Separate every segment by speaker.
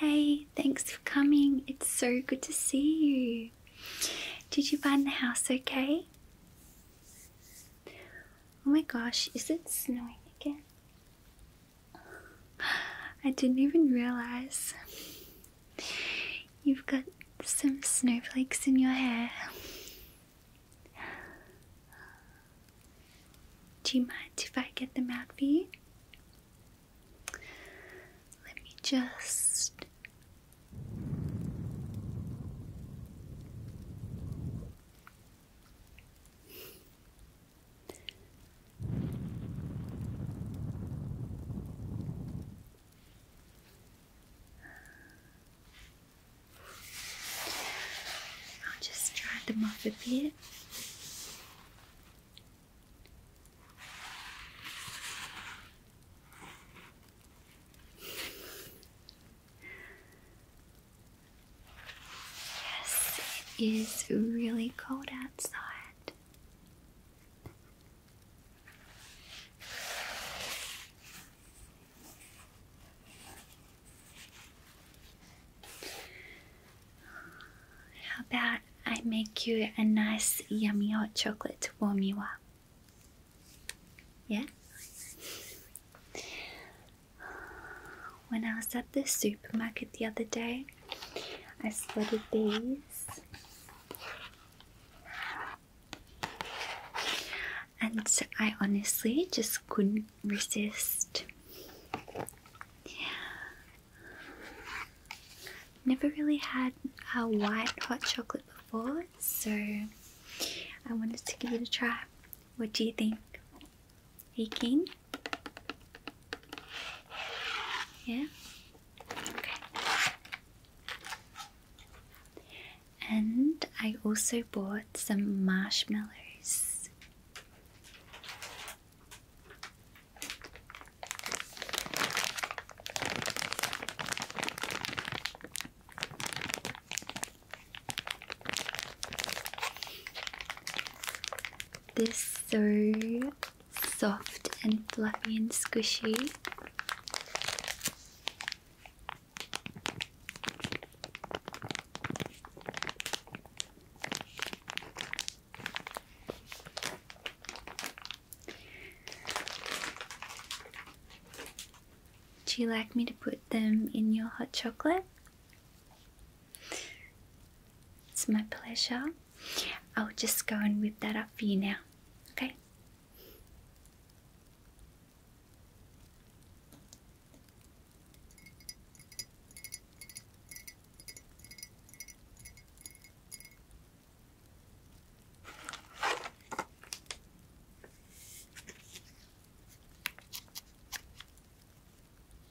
Speaker 1: Hey, thanks for coming. It's so good to see you. Did you find the house okay? Oh my gosh, is it snowing again? I didn't even realize you've got some snowflakes in your hair. Do you mind if I get them out for you? Let me just. I'll just dry them off a bit. Yes, it is really cold outside. How about I make you a nice yummy hot chocolate to warm you up? Yeah? When I was at the supermarket the other day, I spotted these and I honestly just couldn't resist. Never really had a white hot chocolate before, so I wanted to give it a try. What do you think? Are you keen? Yeah? Okay. And I also bought some marshmallows. This so soft and fluffy and squishy. Do you like me to put them in your hot chocolate? It's my pleasure. I'll just go and whip that up for you now, okay?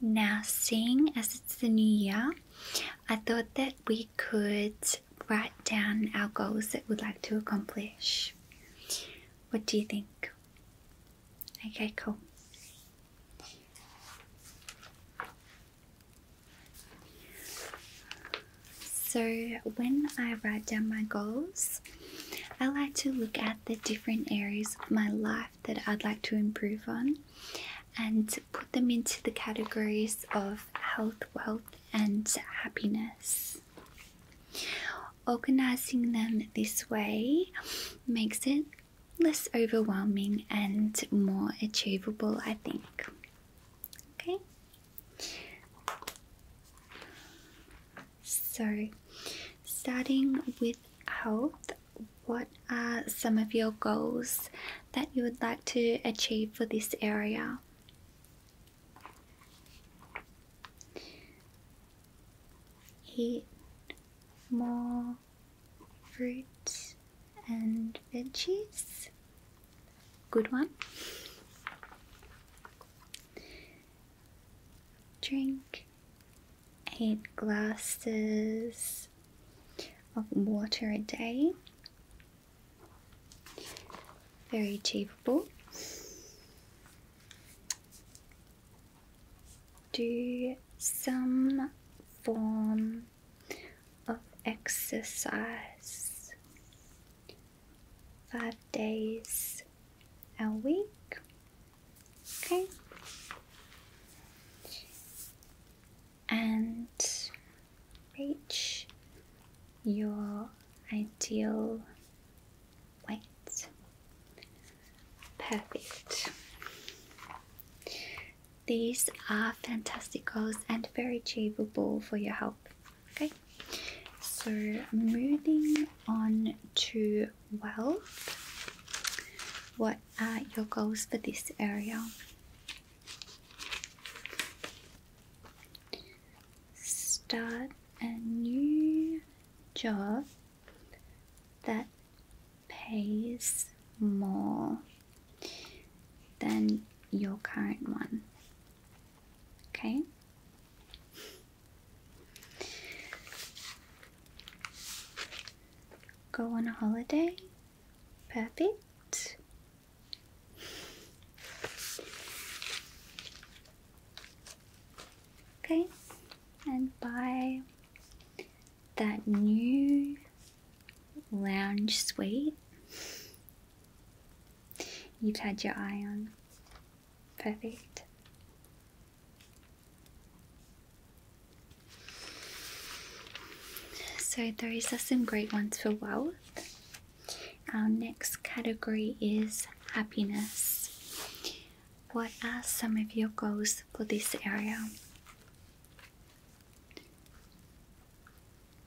Speaker 1: Now, seeing as it's the new year, I thought that we could write down our goals that we'd like to accomplish. What do you think? Okay, cool. So, when I write down my goals, I like to look at the different areas of my life that I'd like to improve on and put them into the categories of health, wealth, and happiness. Organizing them this way makes it less overwhelming and more achievable, I think. Okay, so starting with health, what are some of your goals that you would like to achieve for this area? Eat more Fruit and veggies. Good one. Drink eight glasses of water a day. Very achievable do some form of exercise five days a week. Okay. And reach your ideal white. Perfect. These are fantastic goals and very achievable for your help. Okay, so moving on to wealth. What are your goals for this area? Start a new job that pays more than your current one. Okay? Go on a holiday? Perfect. Okay, and bye that new lounge suite you've had your eye on. Perfect. So, those are some great ones for wealth. Our next category is happiness. What are some of your goals for this area?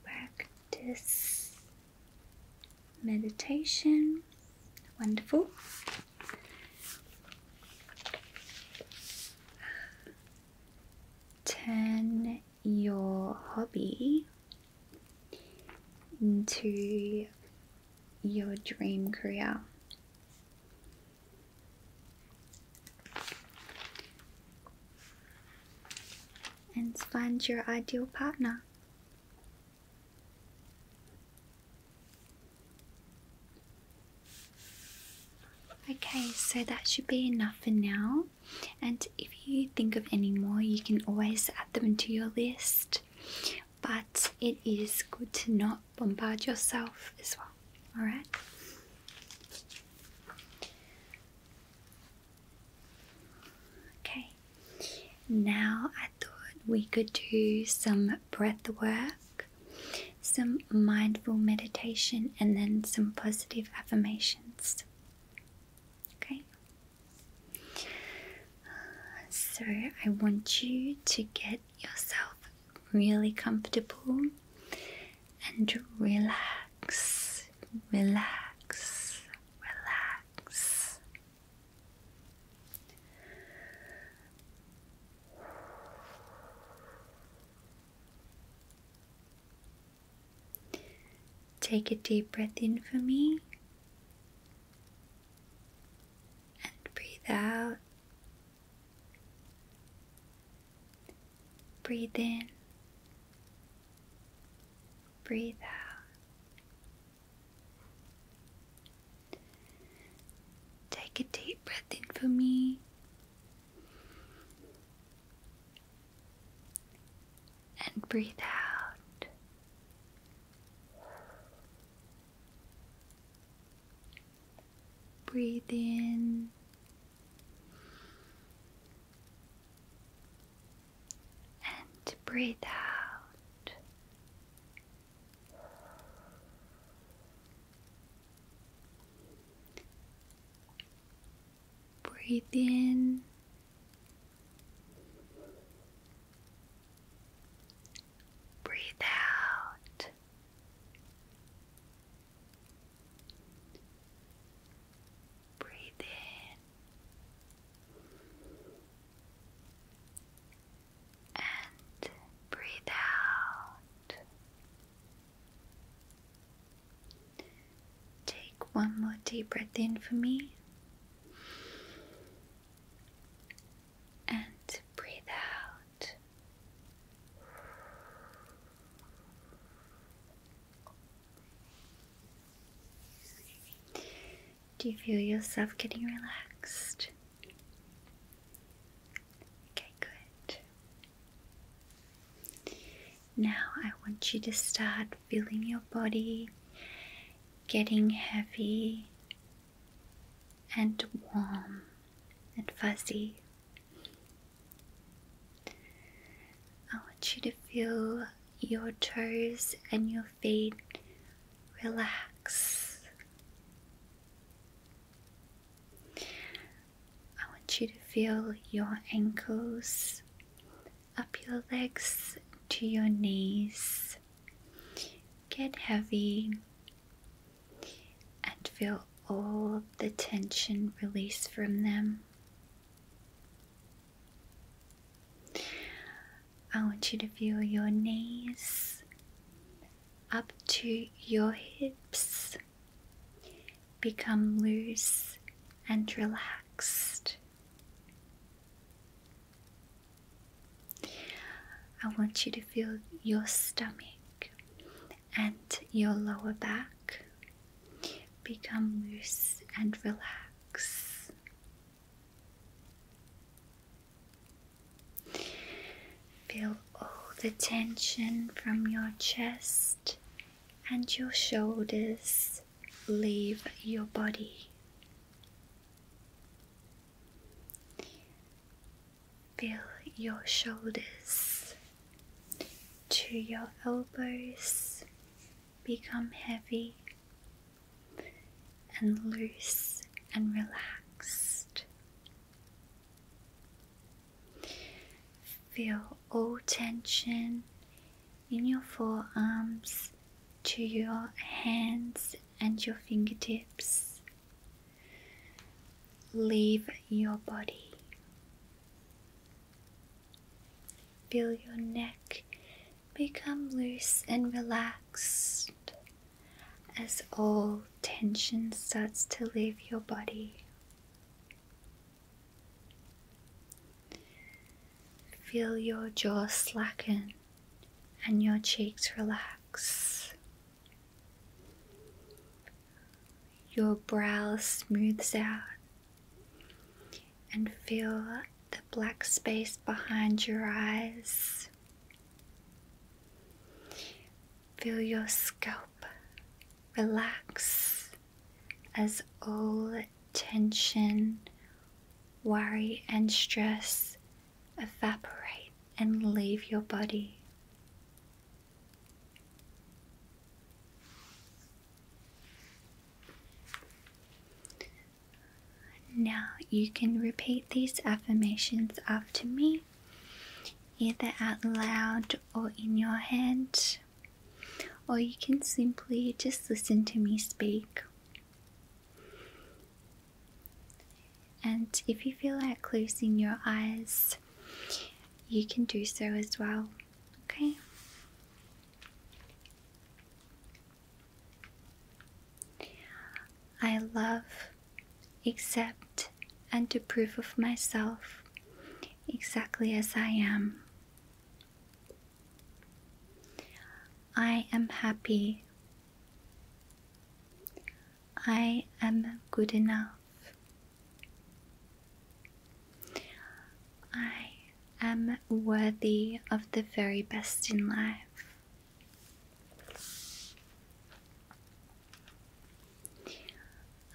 Speaker 1: Practice meditation. Wonderful. Turn your hobby into your dream career. And find your ideal partner. Okay, so that should be enough for now. And if you think of any more, you can always add them to your list but it is good to not bombard yourself as well. Alright? Okay, now I thought we could do some breath work, some mindful meditation, and then some positive affirmations. Okay? So I want you to get yourself really comfortable and relax, relax, relax. Take a deep breath in for me and breathe out. Breathe in, breathe out. Take a deep breath in for me. And breathe out. Breathe in. And breathe out. Breathe in Breathe out. Breathe in and breathe out. Take one more deep breath in for me and breathe out. Do you feel yourself getting relaxed? Okay, good. Now I want you to start feeling your body getting heavy and warm and fuzzy. I want you to feel your toes and your feet relax. I want you to feel your ankles up your legs to your knees get heavy and feel all of the tension release from them. I want you to feel your knees up to your hips become loose and relaxed. I want you to feel your stomach and your lower back become loose and relax. Feel all the tension from your chest and your shoulders leave your body. Feel your shoulders to your elbows become heavy and loose and relaxed. Feel all tension in your forearms to your hands and your fingertips. Leave your body. Feel your neck become loose and relaxed as all tension starts to leave your body. Feel your jaw slacken and your cheeks relax. Your brow smooths out and feel the black space behind your eyes. Feel your scalp relax as all tension, worry, and stress evaporate and leave your body. Now you can repeat these affirmations after me, either out loud or in your head, or you can simply just listen to me speak. And if you feel like closing your eyes, you can do so as well. Okay? I love, accept, and approve of myself exactly as I am. I am happy I am good enough. I am worthy of the very best in life.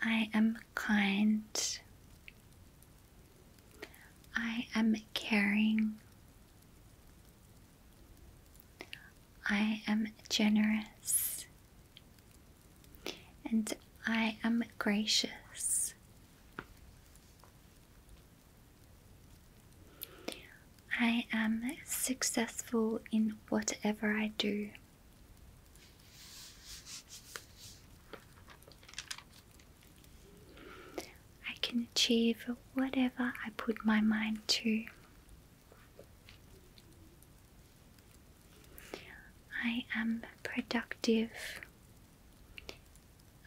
Speaker 1: I am kind. I am caring. I am generous and I am gracious. I am successful in whatever I do. I can achieve whatever I put my mind to. I am productive.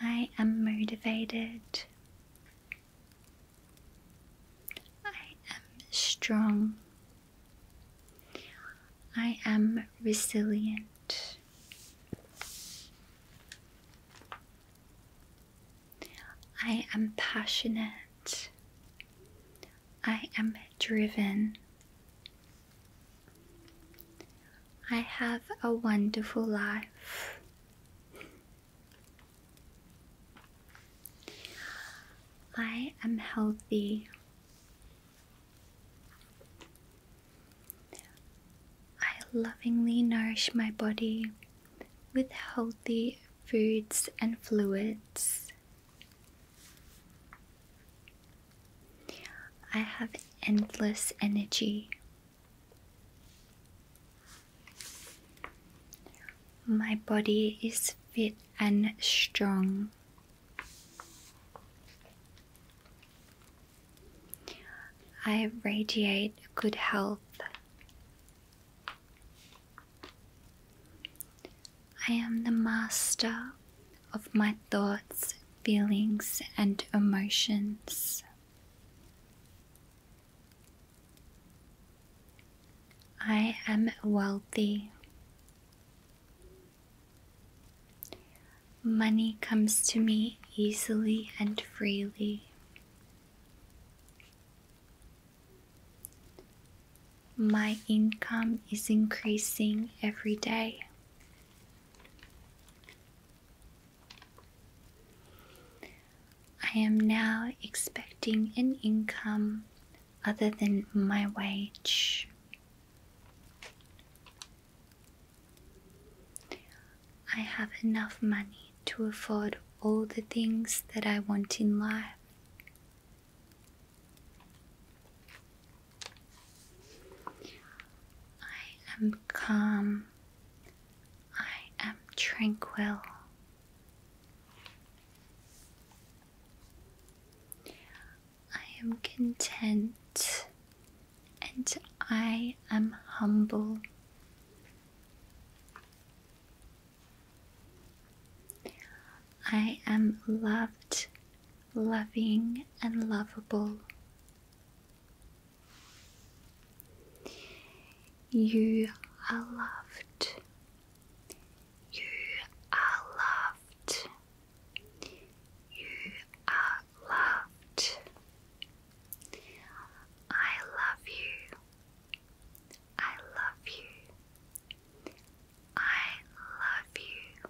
Speaker 1: I am motivated. I am strong. I am resilient. I am passionate. I am driven. I have a wonderful life. I am healthy. I lovingly nourish my body with healthy foods and fluids. I have endless energy. My body is fit and strong. I radiate good health. I am the master of my thoughts, feelings, and emotions. I am wealthy. Money comes to me easily and freely. My income is increasing every day. I am now expecting an income other than my wage. I have enough money to afford all the things that I want in life. I am calm. I am tranquil. I am content and I am humble. I am loved, loving, and lovable. You are loved. You are loved. You are loved. I love you. I love you. I love you.